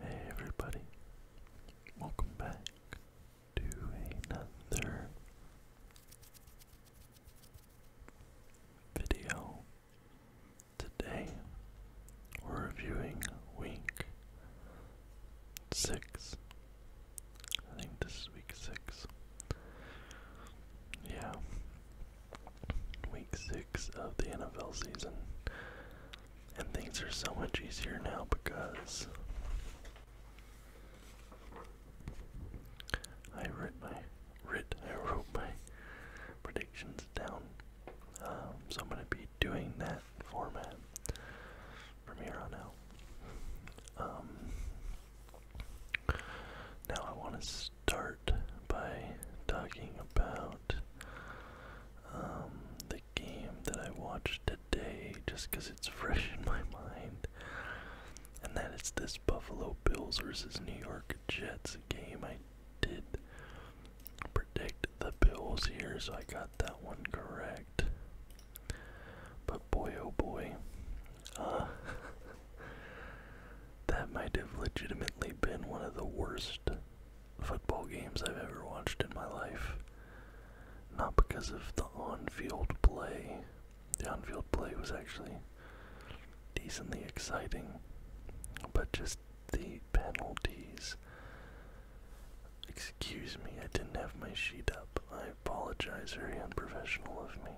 Hey everybody, welcome back to another video. Today we're reviewing week six. I think this is week six. Yeah, week six of the NFL season. And things are so much easier now because I wrote my writ I wrote my predictions down. Um, so I'm gonna be doing that format from here on out. Um, now I want to start by talking about um, the game that I watched today just because it's fresh in my mind. And that is this Buffalo Bills versus New York Jets game. I did predict the Bills here, so I got that one correct. But boy, oh boy, uh, that might have legitimately been one of the worst football games I've ever watched in my life. Not because of the on field play. The on field play was actually decently exciting, but just the penalties. Excuse me, I didn't have my sheet up. I apologize, very unprofessional of me.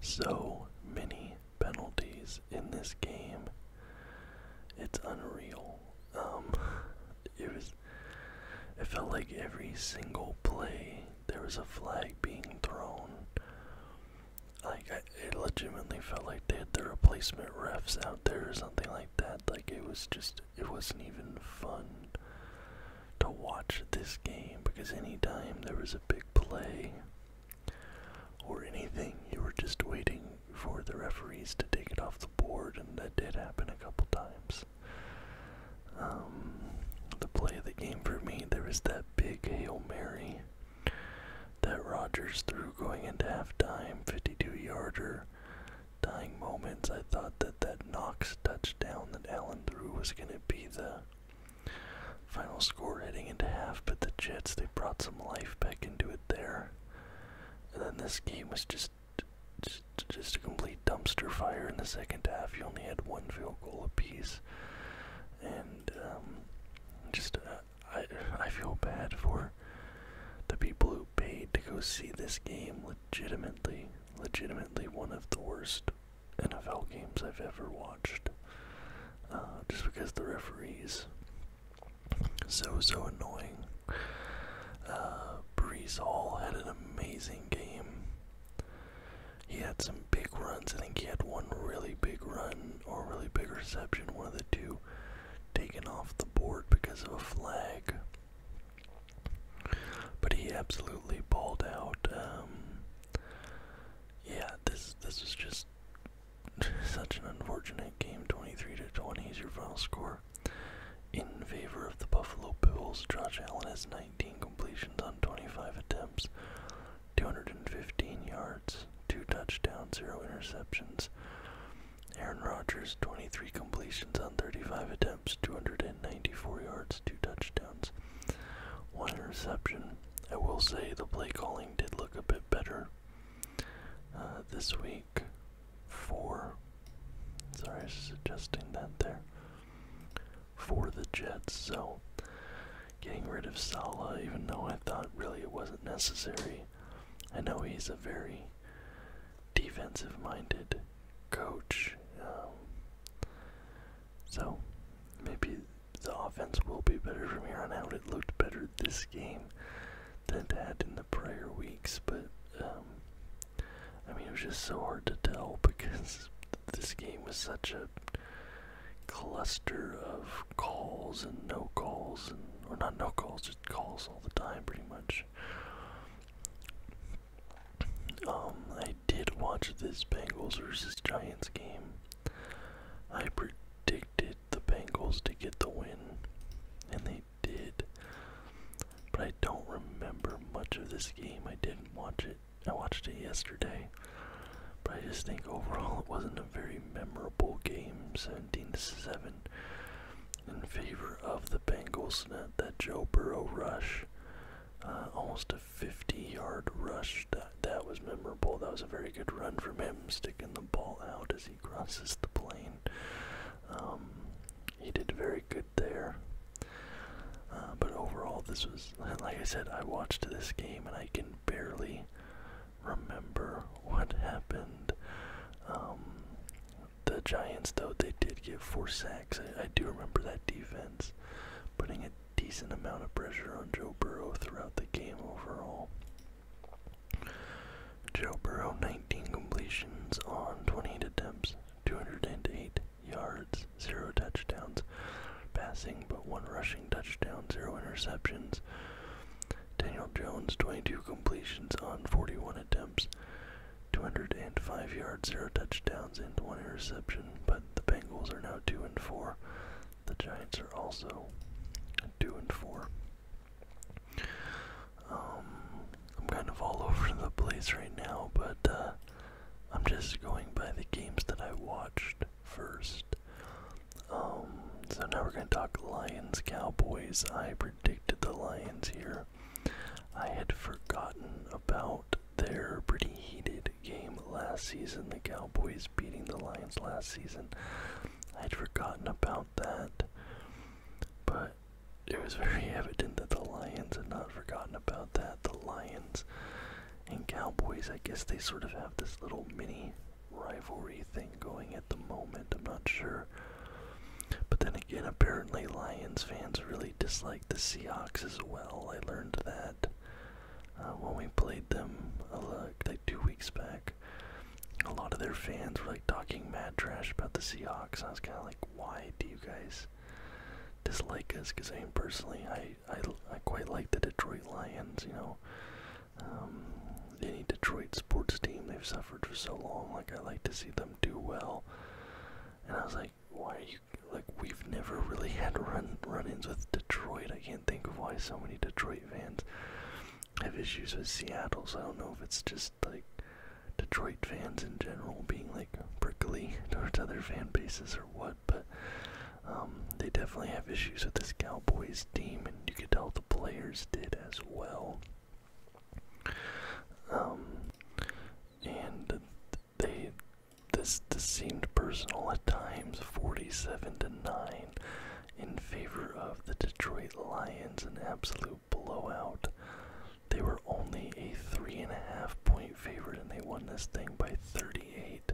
So many penalties in this game. It's unreal. Um, it was. It felt like every single play there was a flag being thrown. Like I, it legitimately felt like they had the replacement refs out there or something like that. Like it was just. It wasn't even fun to watch this game because anytime there was a big play or anything. You were just waiting for the referees to take it off the board, and that did happen a couple times. Um, the play of the game for me, there was that big Hail Mary that Rogers threw going into halftime, 52 yarder. Dying moments, I thought that that Knox touchdown that Allen threw was going to be the Final score heading into half, but the Jets, they brought some life back into it there. And then this game was just, just, just a complete dumpster fire in the second half. You only had one field goal apiece. And um, just, uh, I, I feel bad for the people who paid to go see this game legitimately, legitimately one of the worst NFL games I've ever watched. Uh, just because the referees so so annoying. Uh, Brees Hall had an amazing game. He had some big runs. I think he had one really big run or really big reception, one of the two, taken off the board because of a flag. But he absolutely balled out. Um, yeah, this this was just such an unfortunate game. 23 to 20 is your final score in favor of the Buffalo Bills. Josh Allen has 19 completions on 25 attempts, 215 yards, two touchdowns, zero interceptions. Aaron Rodgers, 23 completions on 35 attempts, 294 yards, two touchdowns, one interception. I will say the play calling did look a bit better uh, this week for. Sorry, I was suggesting that there. For the Jets, so getting rid of Salah, even though I thought really it wasn't necessary. I know he's a very defensive minded coach. Um, so maybe the offense will be better from here on out. It looked better this game than it had in the prior weeks, but um, I mean, it was just so hard to tell because this game was such a cluster of calls and no calls, and or not no calls, just calls all the time, pretty much. Um, I did watch this Bengals versus Giants game. I predicted the Bengals to get the win, and they did. But I don't remember much of this game. I didn't watch it. I watched it yesterday. But I just think overall it wasn't a very memorable game. 17 to 7 in favor of the Bengals. That, that Joe Burrow rush. Uh, almost a 50-yard rush. That that was memorable. That was a very good run from him, sticking the ball out as he crosses the plane. Um, he did very good there. Uh, but overall, this was like I said. I watched this game and I can barely remember what happened. Um, the Giants, though, they did give four sacks. I do remember that defense putting it decent amount of pressure on Joe Burrow throughout the game overall. Joe Burrow, 19 completions on 28 attempts, 208 yards, 0 touchdowns, passing but 1 rushing touchdown, 0 interceptions. Daniel Jones, 22 completions on 41 attempts, 205 yards, 0 touchdowns, and 1 interception, but the Bengals are now 2 and 4. The Giants are also two and four. Um, I'm kind of all over the place right now, but uh, I'm just going by the games that I watched first. Um, so now we're going to talk Lions Cowboys. I predicted the Lions here. I had forgotten about their pretty heated game last season, the Cowboys beating the Lions last season. I'd forgotten about that, but it was very evident that the Lions had not forgotten about that. The Lions and Cowboys, I guess they sort of have this little mini rivalry thing going at the moment. I'm not sure. But then again, apparently Lions fans really dislike the Seahawks as well. I learned that that uh, when we played them uh, like two weeks back. A lot of their fans were like talking mad trash about the Seahawks. I was kind of like, why do you guys dislike us? Because I mean, personally, I, I I quite like the Detroit Lions. You know, um, any Detroit sports team they've suffered for so long. Like I like to see them do well. And I was like, why are you like we've never really had run run-ins with Detroit. I can't think of why so many Detroit fans have issues with Seattle. So I don't know if it's just like Detroit fans in general being like prickly towards other fan bases or what, but um, they definitely have issues with this Cowboys team, and you could tell the players did as well. Um, and they this seemed personal at times. Forty-seven to nine in favor of the Detroit Lions, an absolute blowout. They were only a three and a half point favorite, and they won this thing by thirty-eight.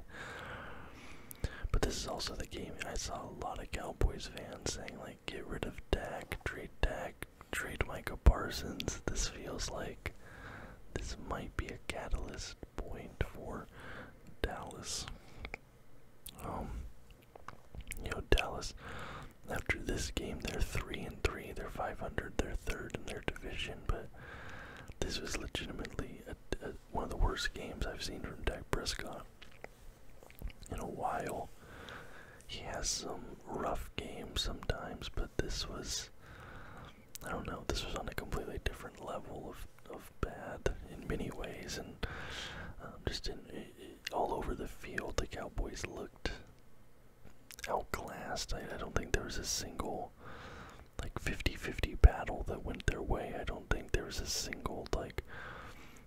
But this is also the game I saw a lot of Cowboys fans saying like, "Get rid of Dak, trade Dak, trade Micah Parsons." This feels like this might be a catalyst point for Dallas. Um, Dallas, after this game, they're 3 and 3, they're 500, they're third in their division, but this was legitimately one of the worst games I've seen from Dak Prescott in a while. He has some rough games sometimes, but this was I don't know, this was on a completely different level of, of bad in many ways, and um, just in, it, it, all over the field, the Cowboys looked outclassed. I, I don't think there was a single like 50-50 battle that went their way. I don't think there was a single like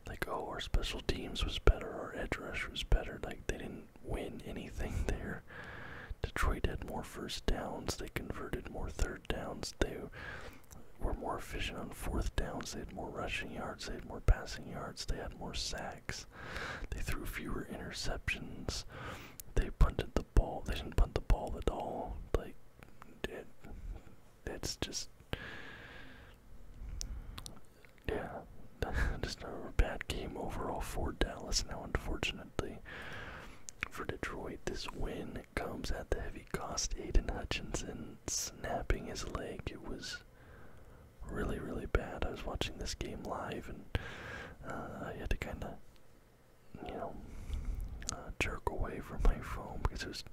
like oh our special teams was better, our edge rush was better. Like they didn't win anything there. Detroit had more first downs. They converted more third downs. They were more efficient on fourth downs. They had more rushing yards. They had more passing yards. They had more sacks. They threw fewer interceptions. They punted the ball. They didn't punt the ball at all. Like it's just yeah, just a bad game overall for Dallas. Now, unfortunate unfortunately. For Detroit, this win comes at the heavy cost. Aiden Hutchinson snapping his leg. It was really, really bad. I was watching this game live and uh, I had to kind of, you know, uh, jerk away from my phone because it was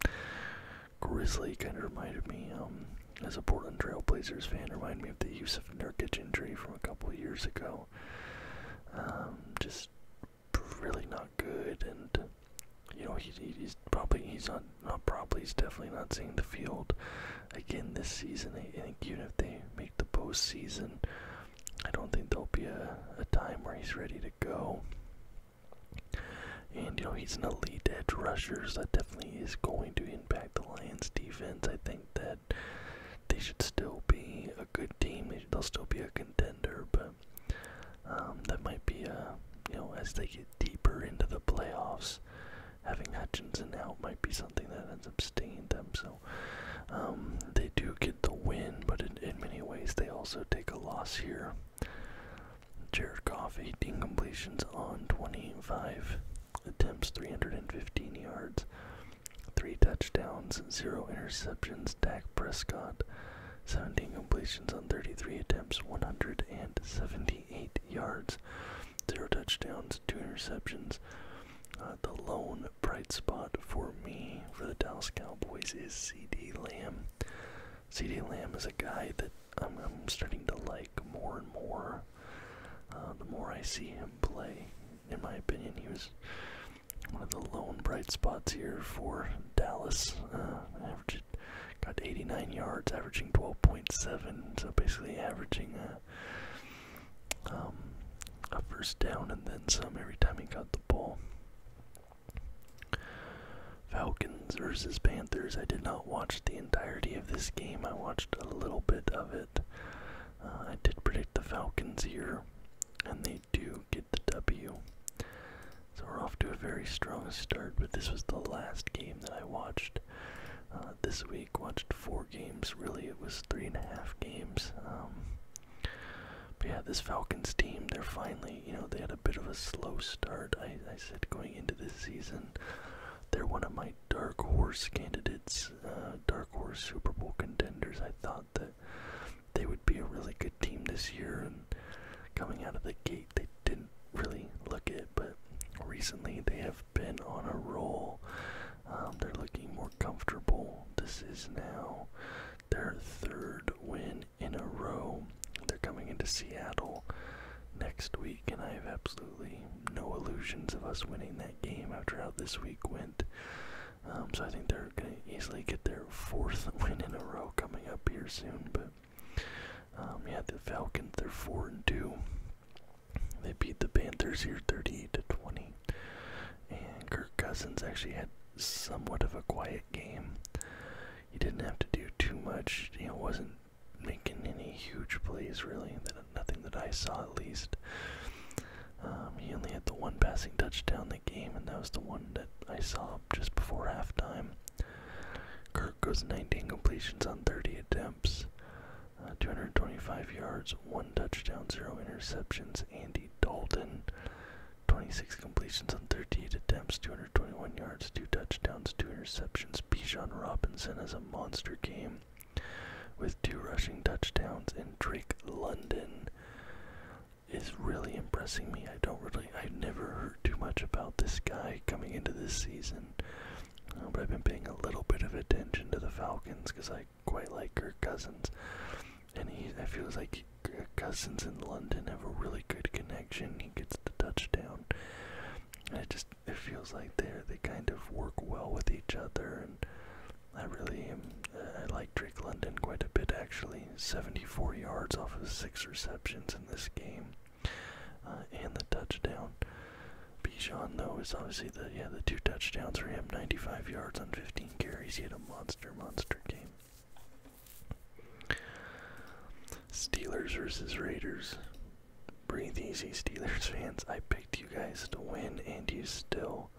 grisly. Kind of reminded me, um, as a Portland Trailblazers fan, reminded me of the Yusuf Nurkic injury from a couple of years ago. Um, just really not good, and you know he, he's probably he's not not probably he's definitely not seeing the field again this season. I, I think even if they make the postseason, I don't think there'll be a a time where he's ready to go. And you know he's an elite edge rusher, so that definitely is going to impact the Lions' defense. I think that they should still be good team. They'll still be a contender, but um, that might be a uh, you know as they get deeper into the playoffs, having Hutchinson out might be something that ends up stinging them. So um, they do get the win, but in, in many ways they also take a loss here. Jared Goff, 18 completions on 25 attempts, 315 yards, three touchdowns, zero interceptions. Dak Prescott, 17 completions on 33 attempts, 178 yards, zero touchdowns, two interceptions. Uh, the lone bright spot for me for the Dallas Cowboys is CD Lamb. CD Lamb is a guy that I'm, starting to like more and more. Uh, the more I see him play, in my opinion, he was one of the lone bright spots here for Dallas. Uh, got 89 yards, averaging 12.7, so basically averaging uh, um, a, first down and then some every time he got the ball. Falcons versus Panthers. I did not watch the entirety of this game. I watched a little bit of it. Uh, I did predict the Falcons here and they do get the W. So we're off to a very strong start, but this was the last game that I watched uh, this week. Watched four games, really, it was three and a half games. Um, but yeah, this Falcons team, they're finally, you know, they had a bit of a slow start. I, I said going into this season, they're one of my dark horse candidates, uh, dark horse Super Bowl contenders. I thought that that they would be a really good team this year. And coming out of the gate, they didn't really look it, but recently they have been on a roll. Um, they're looking more comfortable. This is now their third win in a row. They're coming into Seattle next week, and I have absolutely no illusions of us winning that game after how this week went. Um, so I think they're going to easily get their fourth win in a row coming up here soon. But um, yeah, the Falcons they're four and two. They beat the Panthers here 38 to 20, and Kirk Cousins actually had somewhat of a quiet game. He didn't have to do too much. He wasn't making any huge plays really. nothing that I saw at least. Um, he only had the one passing touchdown that game, and that was the one that I saw just before halftime. Kirk goes 19 completions on 30 attempts, uh, 225 yards, one touchdown, zero interceptions. Andy Dalton, 26 completions on 38 attempts, 221 yards, two touchdowns, two interceptions. Bijan Robinson has a monster game with two rushing touchdowns, and Drake London is really impressing me. I don't really, I've never heard too much about this guy coming into this season, uh, but I've been paying a little bit of attention to the Falcons because I quite like Kirk Cousins, and he, I feel like Kirk Cousins and London have a really good connection. He gets the touchdown. And it just it feels like they they kind of work well with each other and I really am. I like Drake London quite a bit actually. 74 yards off of six receptions in this game, uh, and the touchdown. Bijan though is obviously the yeah the two touchdowns for him. 95 yards on 15 carries. He had a monster monster game. Steelers versus Raiders. Breathe easy, Steelers fans. I picked you guys to win, and you still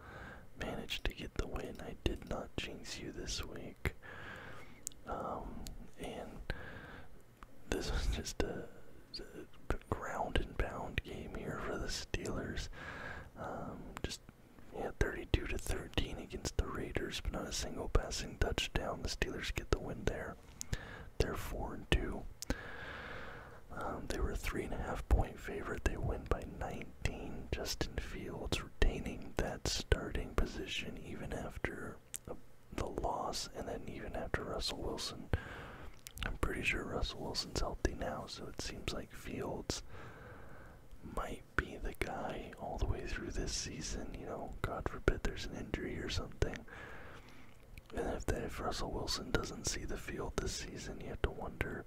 managed to get the win. I did not jinx you this week. Um, and this was just a, ground and pound game here for the Steelers. Um, just yeah, 32 to 13 against the Raiders, but not a single passing touchdown. The Steelers get the win there. They're four and two. Um, they were a three and a half point favorite. They win by 19. Justin Fields retaining that starting position even after a, the loss, and then even after Russell Wilson. I'm pretty sure Russell Wilson's healthy now, so it seems like Fields might be the guy all the way through this season. You know, God forbid there's an injury or something. And if, that, if Russell Wilson doesn't see the field this season, you have to wonder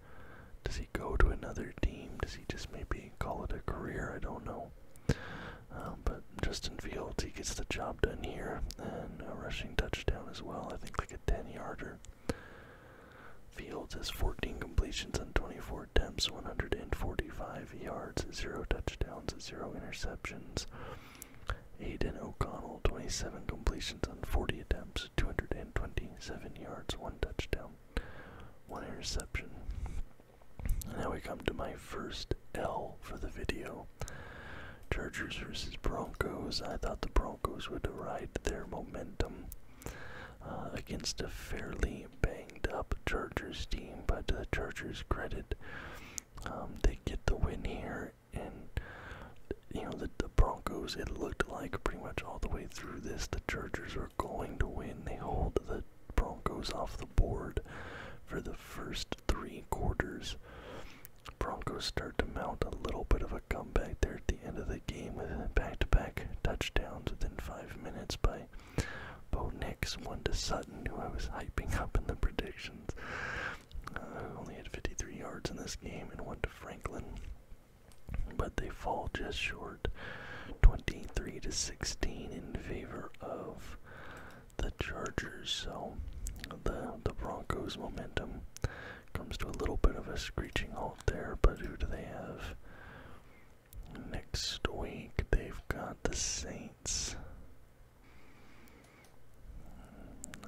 does he go to another team? Does he just maybe call it a career? I don't know. Um, but Justin Fields, he gets the job done here, and a rushing touchdown as well. I think like a 10 yarder. Fields has 14 completions on 24 attempts, 145 yards, 0 touchdowns, 0 interceptions. Aiden O'Connell, 27 completions on 40 attempts, 220 Seven yards, one touchdown, one interception. now we come to my first L for the video. Chargers vs Broncos. I thought the Broncos would ride their momentum uh, against a fairly banged up Chargers team, but to uh, the Chargers' credit, um, they get the win here and you know the, the Broncos. It looked like pretty much all the way through this, the Chargers are going to win. They hold the Broncos off the board for the first three quarters. Broncos start to mount a little bit of a comeback there at the end of the game with back-to-back -to -back touchdowns within five minutes by Bo Nix, one to Sutton, who I was hyping up in the predictions, uh, only had 53 yards in this game, and one to Franklin, but they fall just short 23 to 16 in favor of the Chargers. So the the Broncos momentum comes to a little bit of a screeching halt there, but who do they have? Next week they've got the Saints.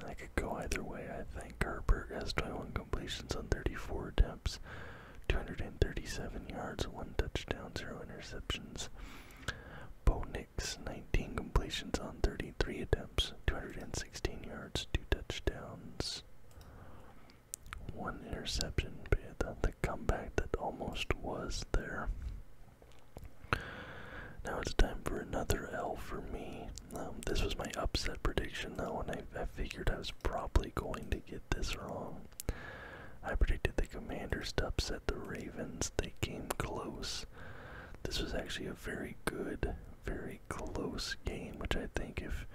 I could go either way, I think. Herbert has 21 completions on 34 attempts, 237 yards, 1 touchdown, 0 interceptions. Bo Nix, 19 completions on 33 attempts, 216 yards, 2 touchdowns, 1 interception. But the comeback that almost was there. Now it's time for another L for me. Um, this was my upset prediction though, and I, figured I was probably going to get this wrong. I predicted the Commanders to upset the Ravens. They came close. This was actually a very good, very close game, which I think if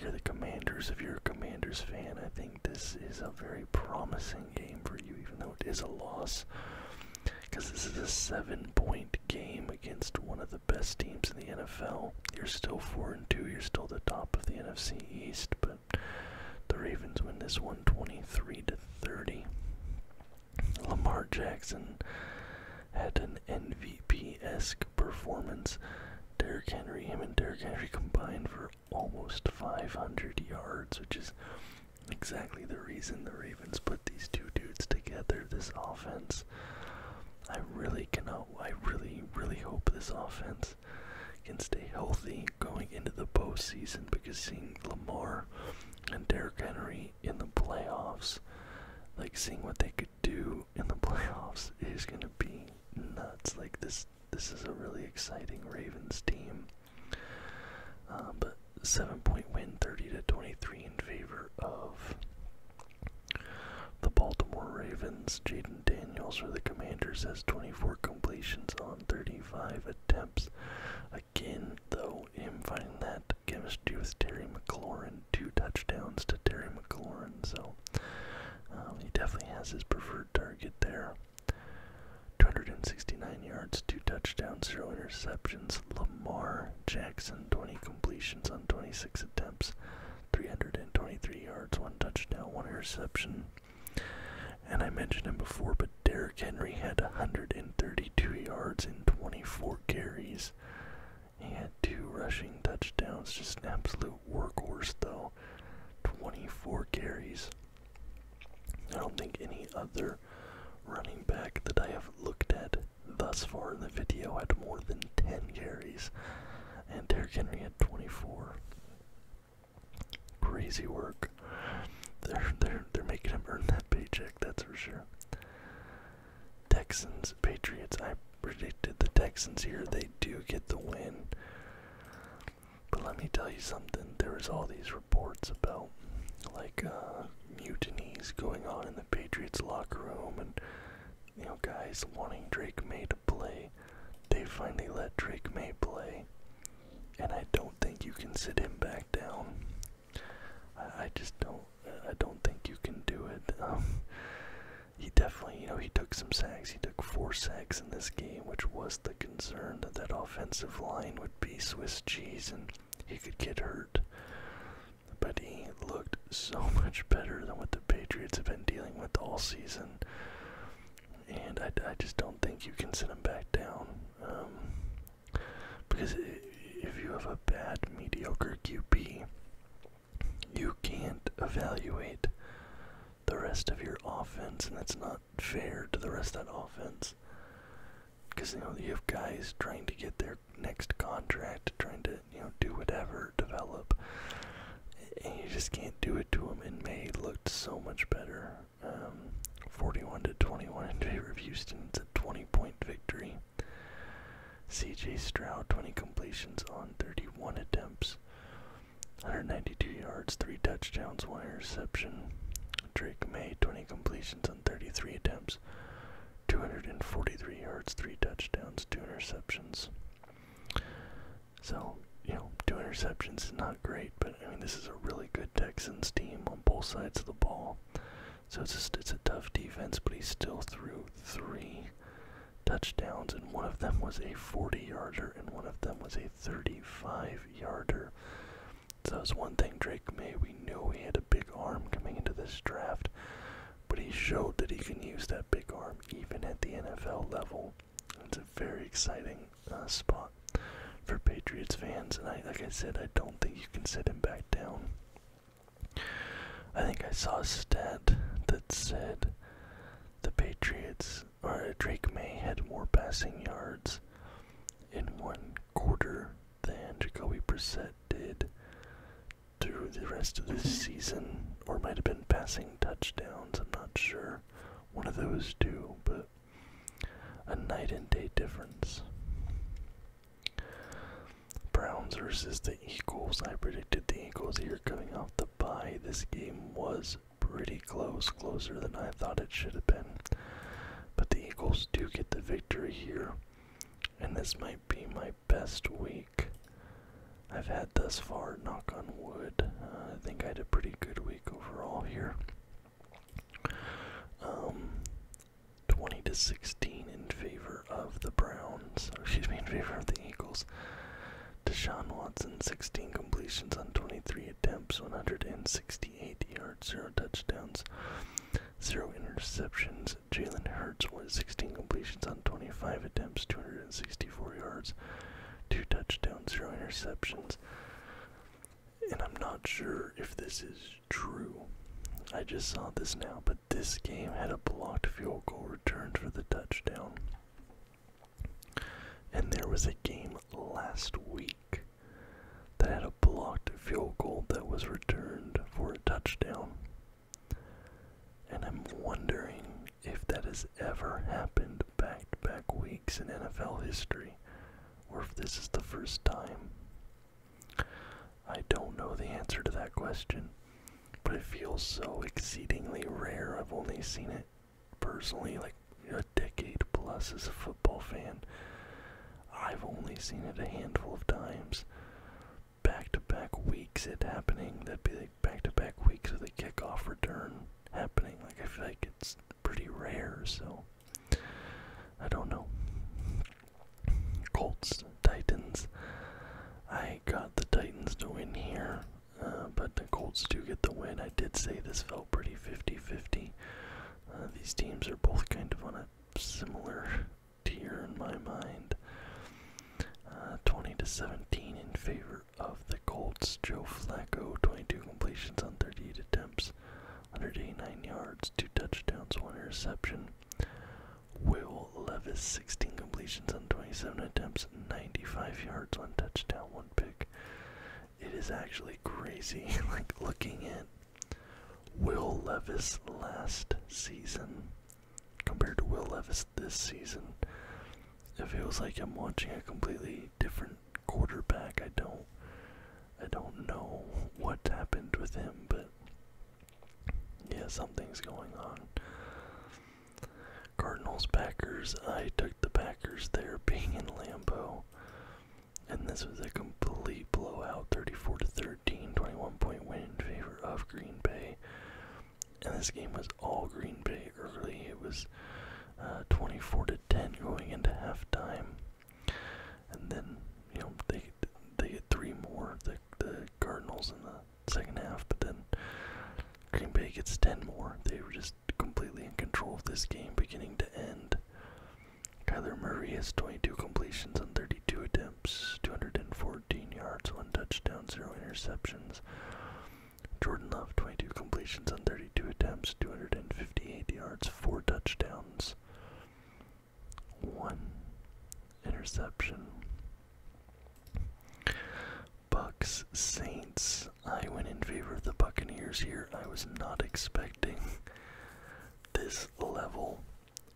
you're the Commanders, if you're a Commanders fan, I think this is a very promising game for you, even though it is a loss. Because this is a seven point game against one of the best teams in the NFL. You're still four and two. You're still the top of the NFC East, but the Ravens win this one, 23 to 30. Lamar Jackson had an MVP-esque performance. Derrick Henry, him and Derrick Henry combined for almost 500 yards, which is exactly the reason the Ravens put these two dudes together. This offense I really cannot. I really, really hope this offense can stay healthy going into the postseason because seeing Lamar and Derrick Henry in the playoffs, like seeing what they could do in the playoffs, is gonna be nuts. Like this, this is a really exciting Ravens team. Uh, but seven point win, 30 to 23, in favor of the Baltimore Ravens. Jaden Daniels for the Commanders has 24 completions on 35 attempts. Again, though, him finding that chemistry with Terry McLaurin, two touchdowns to Terry McLaurin, so um, he definitely has his preferred target there. 269 yards, two touchdowns, zero interceptions. Lamar Jackson, 20 completions on 26 attempts, 323 yards, one touchdown, one interception. And I mentioned him before, but Derrick Henry had 132 yards in 24 carries. He had two rushing touchdowns, just an absolute workhorse though. 24 carries. I don't think any other running back that I have looked at thus far in the video had more than 10 carries, and Derrick Henry had 24. Crazy work. They're they're they're making him earn that paycheck, that's for sure. Texans, Patriots. I predicted the Texans here. They do get the win. But let me tell you something. There is all these reports about like uh, mutinies going on in the Patriots locker room and you know guys wanting Drake May to play. They finally let Drake May play. And I don't think you can sit him back down. I, just don't I don't think you can do it. Um, he definitely, you know, he took some sacks. He took four sacks in this game, which was the concern that that offensive line would be Swiss cheese and he could get hurt but he looked so much better than what the Patriots have been dealing with all season. And I, I just don't think you can sit him back down. Um, because if you have a bad, mediocre QB, you can't evaluate the rest of your offense, and that's not fair to the rest of that offense. Because, you know, you have guys trying to get their next contract, trying to you know do whatever, develop, and you just can't do it to them. And May looked so much better. Um, 41 to 21 in favor of Houston. It's a 20-point victory. C.J. Stroud, 20 completions on 31 attempts, 192 yards, three touchdowns, one interception. Drake May, 20 completions on 33 attempts, 243 yards, three touchdowns, two interceptions. So, you know, two interceptions is not great, but I mean, this is a really good Texans team on both sides of the ball. So it's just, it's a tough defense, but he still threw three touchdowns, and one of them was a 40 yarder, and one of them was a 35 yarder. So it's one thing Drake May. We knew he had a big arm coming into this draft, but he showed that he can use that big arm even at the NFL level. It's a very exciting uh, spot for Patriots fans, and I, like I said, I don't think you can set him back down. I think I saw a stat that said the Patriots or Drake May had more passing yards in one quarter than Jacoby Brissett did through the rest of the season, or might have been passing touchdowns. I'm not sure. One of those two, but a night and day difference. Browns versus the Eagles. I predicted the Eagles here coming off the bye. This game was pretty close, closer than I thought it should have been. But the Eagles do get the victory here. And this might be my best week I've had thus far, knock on wood. Uh, I think I had a pretty good week overall here. Um, 20 to 16 in favor of the Browns, or excuse me, in favor of the Eagles. Deshaun Watson, 16 completions on 23 attempts, 168 yards, 0 touchdowns zero interceptions. Jalen Hurts with 16 completions on 25 attempts, 264 yards, two touchdowns, zero interceptions. And I'm not sure if this is true. I just saw this now, but this game had a blocked field goal return for the touchdown. And there was a game last week that had a blocked field goal that was returned for a touchdown. And I'm wondering if that has ever happened back to back weeks in NFL history, or if this is the first time. I don't know the answer to that question, but it feels so exceedingly rare. I've only seen it personally like a decade plus as a football fan. I've only seen it a handful of times. Back to back weeks it happening. That'd be like back to back weeks of the kickoff return happening. Like I feel like it's pretty rare, so I don't know. Colts, Titans. I got the Titans to win here, uh, but the Colts do get the win. I did say this felt pretty 50 50. Uh, these teams are both kind of on a similar tier in my mind. Uh, 20 to 17 in favor of the Colts. Joe Flacco, 22 completions on 38 attempts, 189 yards, 2 touchdowns, 1 interception. Will Levis, 16 completions on 27 attempts, 95 yards, 1 touchdown, 1 pick. It is actually crazy, like looking at Will Levis last season compared to Will Levis this season. It feels like I'm watching a completely different quarterback. I don't I don't know what happened with him, but yeah, something's going on. Cardinals Packers. I took the Packers They're being in Lambeau and this was a complete blowout 34 to 13 21 point win in favor of green bay and this game was all green bay early it was uh, 24 to 10 going into halftime and then you know they they get three more the the cardinals in the second half but then green bay gets 10 more they were just completely in control of this game beginning to end Kyler Murray has 22 completions on 32 attempts, 214 yards, 1 touchdown, 0 interceptions. Jordan Love, 22 completions on 32 attempts, 258 yards, 4 touchdowns, 1 interception. Bucks Saints. I went in favor of the Buccaneers here. I was not expecting this level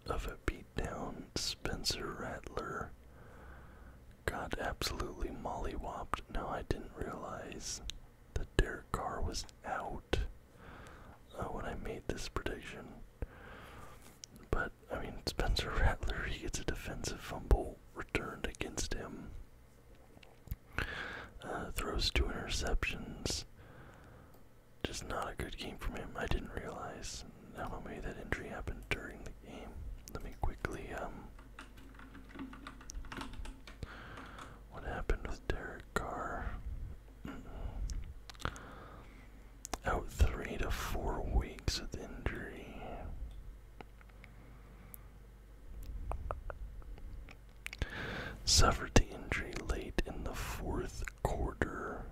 of a beatdown, Spencer Rattler got absolutely mollywopped. Now, I didn't realize that Derek Carr was out uh, when I made this prediction. But, I mean, Spencer Rattler, he gets a defensive fumble returned against him. Uh, throws two interceptions just not a good game from him. I didn't realize how maybe that injury happened during the game. Let me quickly um what happened with Derek Carr? Mm Out three to four weeks with injury. Suffered the injury late in the fourth quarter.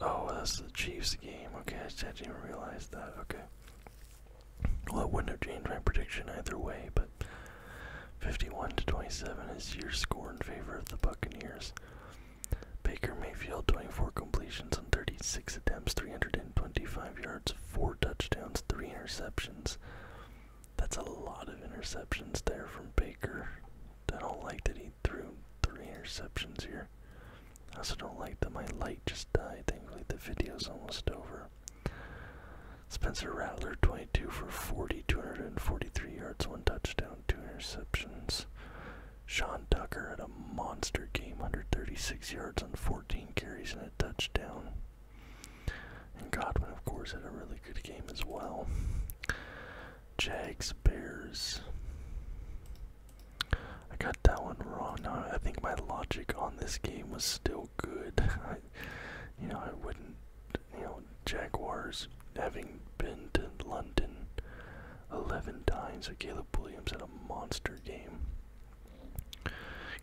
Oh, that's the Chiefs game. Okay, I didn't even realize that. Okay. Well, it wouldn't have changed my prediction either way, but 51 to 27 is your score in favor of the Buccaneers. Baker Mayfield, 24 completions on 36 attempts, 325 yards, 4 touchdowns, 3 interceptions. That's a lot of interceptions there from Baker. I don't like that he threw three interceptions here. I also don't like that my light just died. Thankfully, the is almost over. Spencer Rattler, 22 for 40, 243 yards, one touchdown, two interceptions. Sean Tucker had a monster game, 136 yards on 14 carries and a touchdown. And Godwin, of course, had a really good game as well. Jags, Bears. I got that one wrong. I think my logic on this game was still good. you know, I wouldn't. You know, Jaguars having been to London 11 times. So Caleb Williams had a monster game.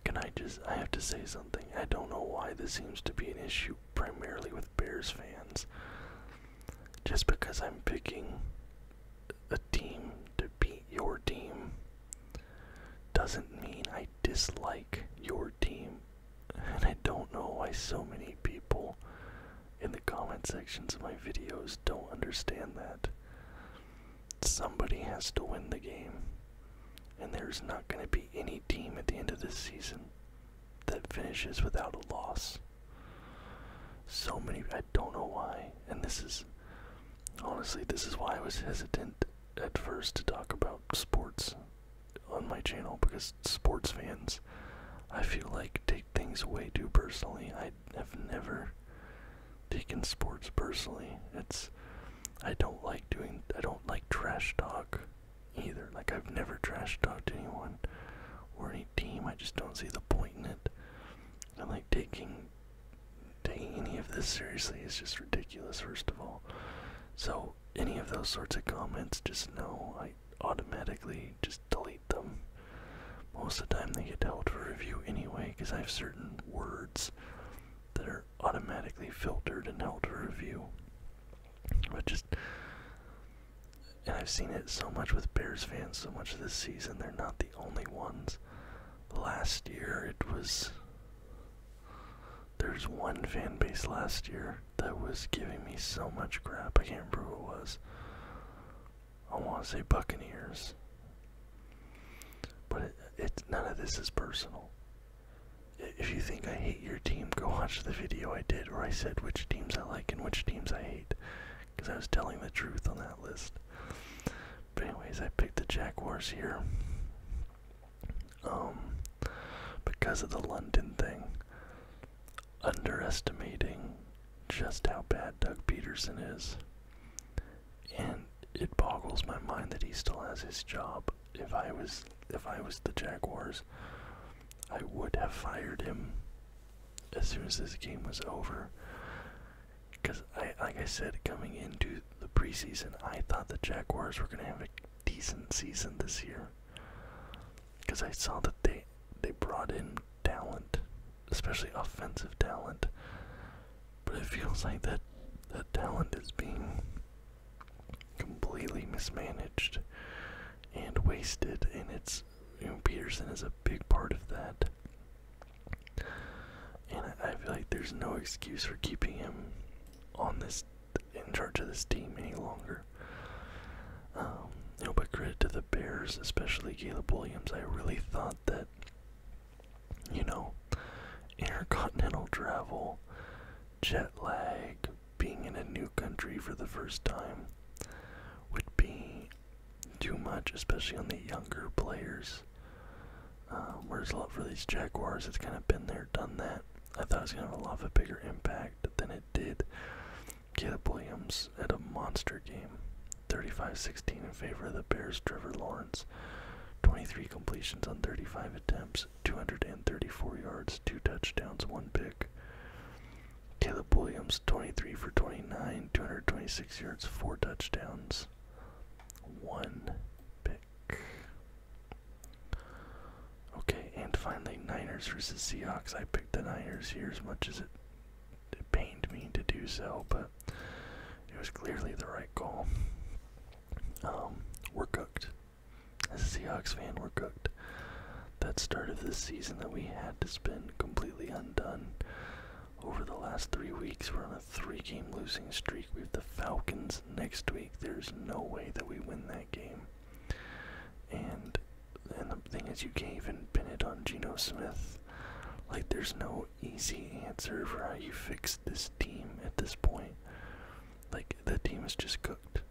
Can I just. I have to say something. I don't know why this seems to be an issue primarily with Bears fans. Just because I'm picking a team to beat your team doesn't mean I dislike your team. And I don't know why so many people in the comment sections of my videos don't understand that. Somebody has to win the game and there's not going to be any team at the end of this season that finishes without a loss. So many, I don't know why, and this is honestly, this is why I was hesitant at first to talk about sports on my channel because sports fans, I feel like, take things way too personally. I have never taken sports personally. It's, I don't like doing, I don't like trash talk either. Like, I've never trash talked anyone or any team. I just don't see the point in it. And, like, taking, taking any of this seriously is just ridiculous, first of all. So, any of those sorts of comments, just know I automatically just delete them. Most of the time, they get held for review anyway because I have certain words that are automatically filtered and held to review. But just, and I've seen it so much with Bears fans, so much this season. They're not the only ones. Last year, it was. There's one fan base last year that was giving me so much crap. I can't remember who it was. I want to say Buccaneers. But it, it, none of this is personal. If you think I hate your team, go watch the video I did where I said which teams I like and which teams I hate. Because I was telling the truth on that list. But, anyways, I picked the Jaguars here. Um, because of the London thing, underestimating just how bad Doug Peterson is. And it boggles my mind that he still has his job if I was if I was the Jaguars, I would have fired him as soon as this game was over. Because I like I said coming into the preseason, I thought the Jaguars were gonna have a decent season this year. Because I saw that they they brought in talent, especially offensive talent. But it feels like that that talent is being completely mismanaged and wasted, and it's Peterson is a big part of that. And I, feel like there's no excuse for keeping him on this in charge of this team any longer. Um, you know, but credit to the Bears, especially Caleb Williams. I really thought that, you know, intercontinental travel jet lag, being in a new country for the first time, would be too much, especially on the younger players. Uh, whereas a lot for these Jaguars, it's kind of been there, done that. I thought it was going to have a lot of a bigger impact than it did. Caleb Williams had a monster game. 35-16 in favor of the Bears. Trevor Lawrence, 23 completions on 35 attempts, 234 yards, two touchdowns, one pick. Caleb Williams, 23 for 29, 226 yards, four touchdowns, one pick. Okay, and finally, Niners versus Seahawks. I picked the Niners here as much as it, it pained me to do so, but it was clearly the right call. Um, we're cooked. As a Seahawks fan, we're cooked. That start of this season that we had to spend completely undone. Over the last three weeks, we're on a three-game losing streak. We have the Falcons next week. There's no way that we win that game. And and the thing is, you can't even pin it on Geno Smith. Like, there's no easy answer for how you fix this team at this point like the team is just cooked.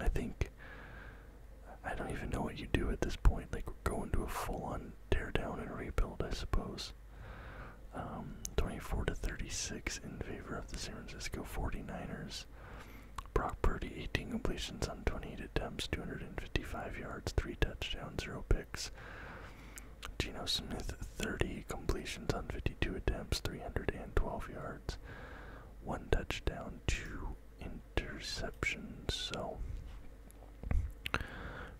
I think I don't even know what you do at this point. Like we're going to a full-on tear down and rebuild, I suppose. Um, 24 to 36 in favor of the San Francisco 49ers. Brock Purdy, 18 completions on 28 attempts, 255 yards, 3 touchdowns, 0 picks. Geno Smith, 30 completions on 52 attempts, 312 yards, one touchdown, two interceptions. So,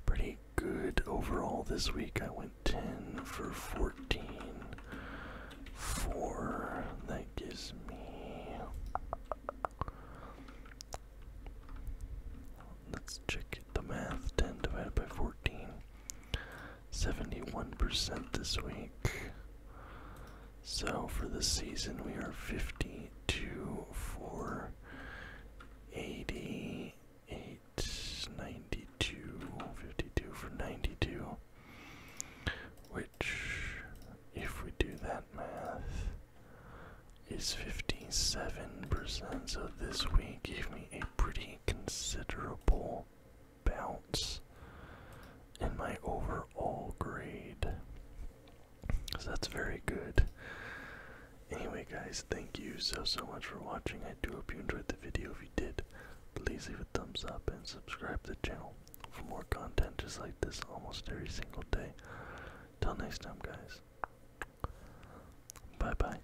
pretty good overall this week. I went 10 for 14. That gives me. Let's check the math. 10 divided by 14. 71% this week. So for the season, we are 52 for 92, 52 for 92. Which, if we do that math, is 57%. So this week gave me a pretty considerable bounce in my overall grade. So that's very good. Anyway, guys, thank you so, so much for watching. I do hope you enjoyed the video. If you did, please leave a thumbs up and subscribe to the channel for more content just like this almost every single day. Till next time, guys. Bye bye.